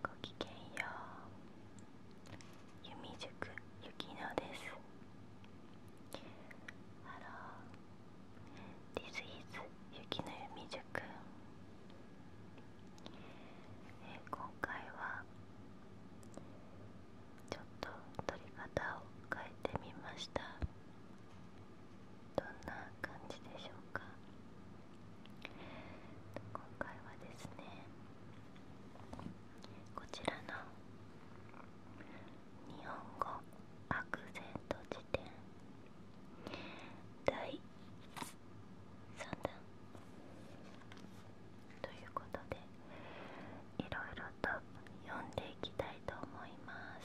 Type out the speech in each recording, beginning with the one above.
ごきげんよう弓塾ゆきのです Hello This is ゆきの弓塾えー、今回はちょっと撮り方を変えてみましたどんな感じでしょうか今回はですねこちらの日本語ア然とント辞典第3弾ということでいろいろと読んでいきたいと思います。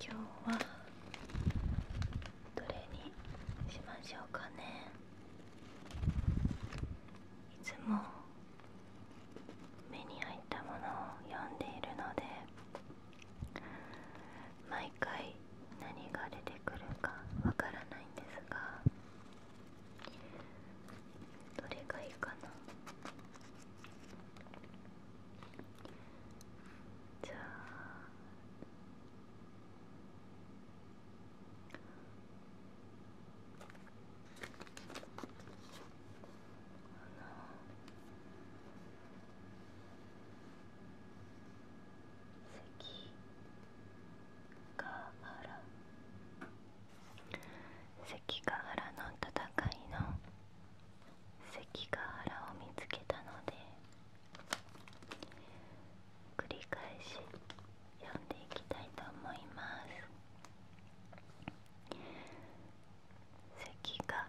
今日はどれにしましょうかねいつも目に入ったものを読んでいるので毎回何が出てくるか分からないんですがどれがいいかなじゃああの関ヶ原関ヶ原の戦いの関ヶ原を見つけたので繰り返し読んでいきたいと思います関ヶ原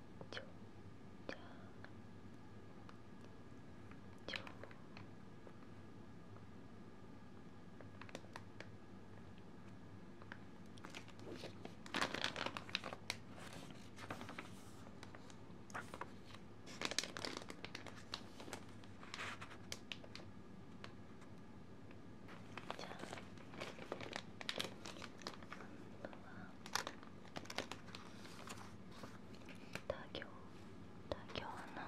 ちょちゃちょじゃあ多行多行の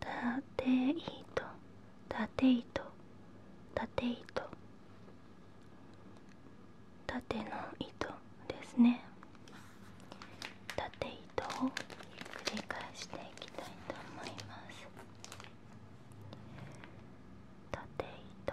たていとたて縦の糸ですね縦糸を繰り返していきたいと思います縦糸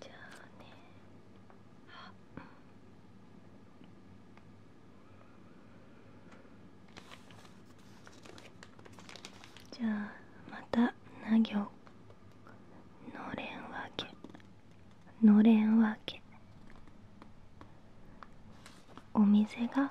じゃあねあうじゃあまたなぎょう。のれんわけのれんわけお店が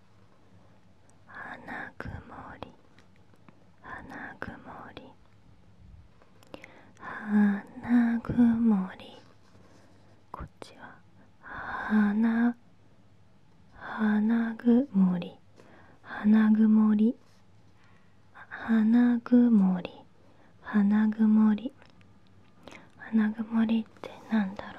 花曇り花曇り花曇りこっちは花花曇り花曇り花曇り花曇り花曇りってなんだろうね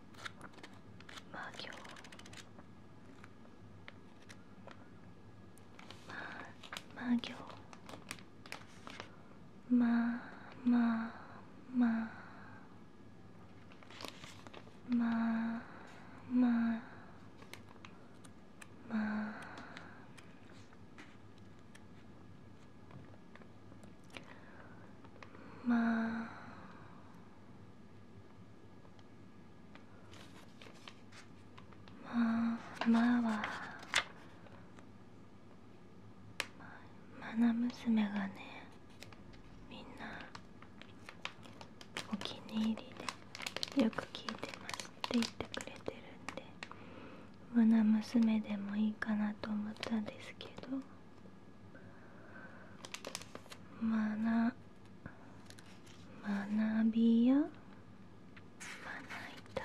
마교 마 마교 마 마 마 마, 마, 마, 마, まあまあまあはまな娘がねみんなお気に入りでよく聞いてますって言ってくれてるんでまな娘でもいいかなと思ったんですけど。まな学びやまな板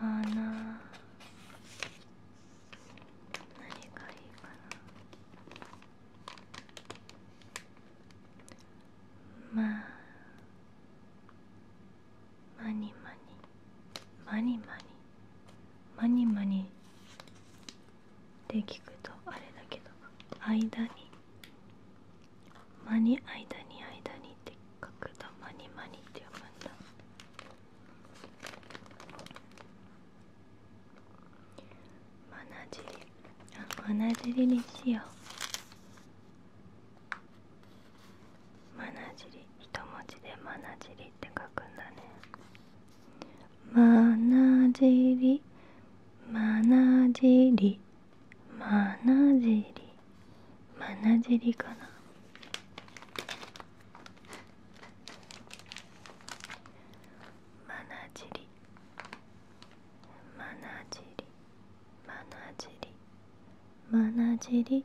まな何がいいかなまマニマニ。マニマニ。マニマニで聞くとあれだけど間に間に間に間にって書くとマニマニって読むんだマナジリあマナジリにしようマナジリ一文字でマナジリって書くんだねマナジーまなじりジなじりまジじりまなじりかなリ。マナりまリ。マナまなリ。マナなじリ。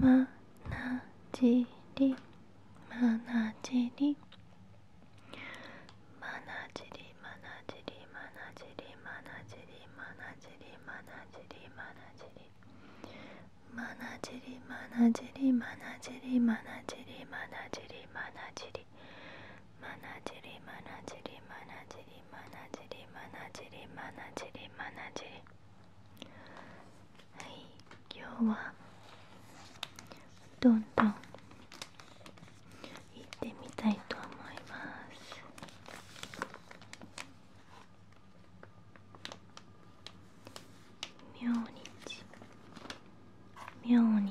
まなじりまなじりまなじりまなじりまなじりまなじりまなじりまなじりまなじりまなじりまなじりまなじりまなじりまなじりまなじりまなじりまなじりまなじりりまなじりまなじりまなじりまなじりはい今日はどんどん行ってみたいと思います明日明日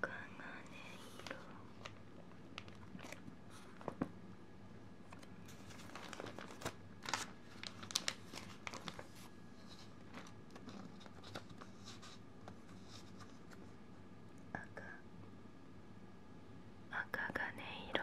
赤がね色赤赤がね色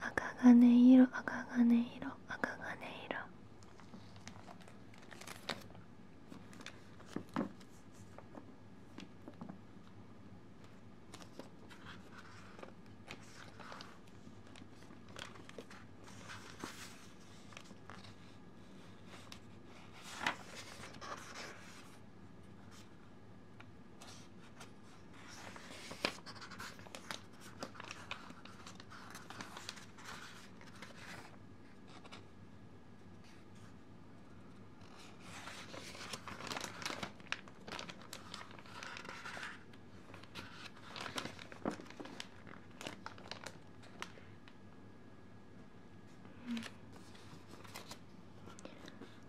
赤金色赤金色赤金色赤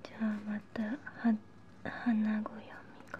じゃあまたは花ご読みが。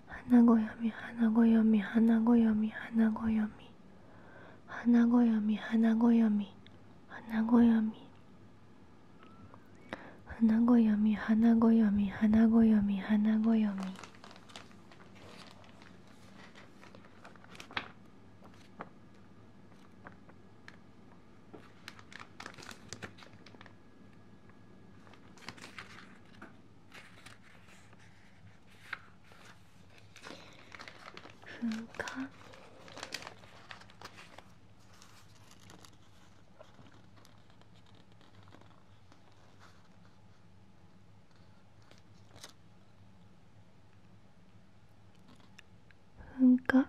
花ごよみ花ごよみ花ごよみ花ごよみ花ごよみ花ごよみ花ごよみ花ごよみ花ごよみ花ごよみ花ごよみ花噴火噴火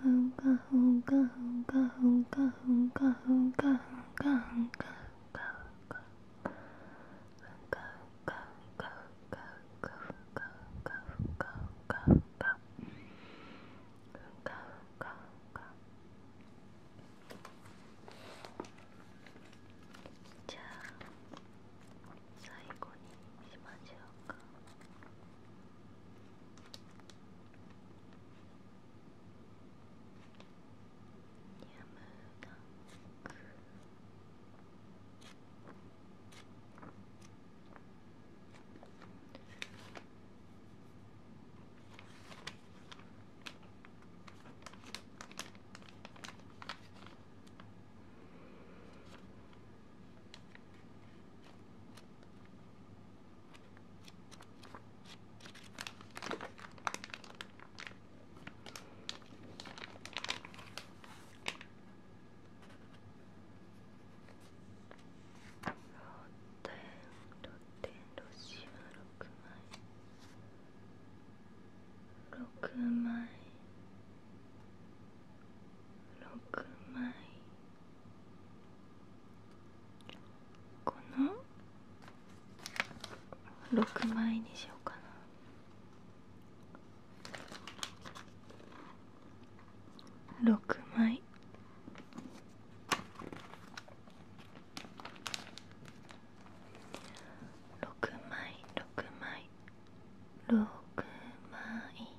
ふんかふんかふんかふんかふんかふんかふんかふんかじゃあ最後にしましょうか。なく6枚6枚この6枚にしようかな6枚6枚6枚6枚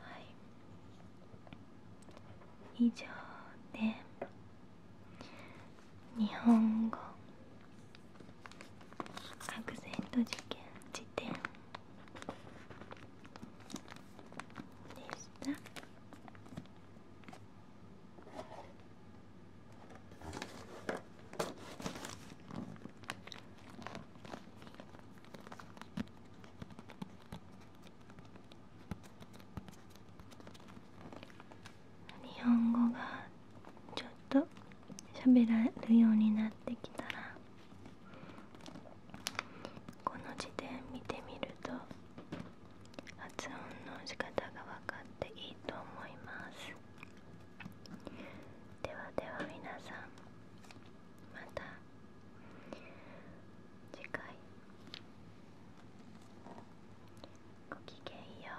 はい以上で日本語アクセント事件辞典でした日本語がちょっと喋られるようになってきたらこの時点見てみると発音の仕方が分かっていいと思いますではでは皆さんまた次回ごきげんよう。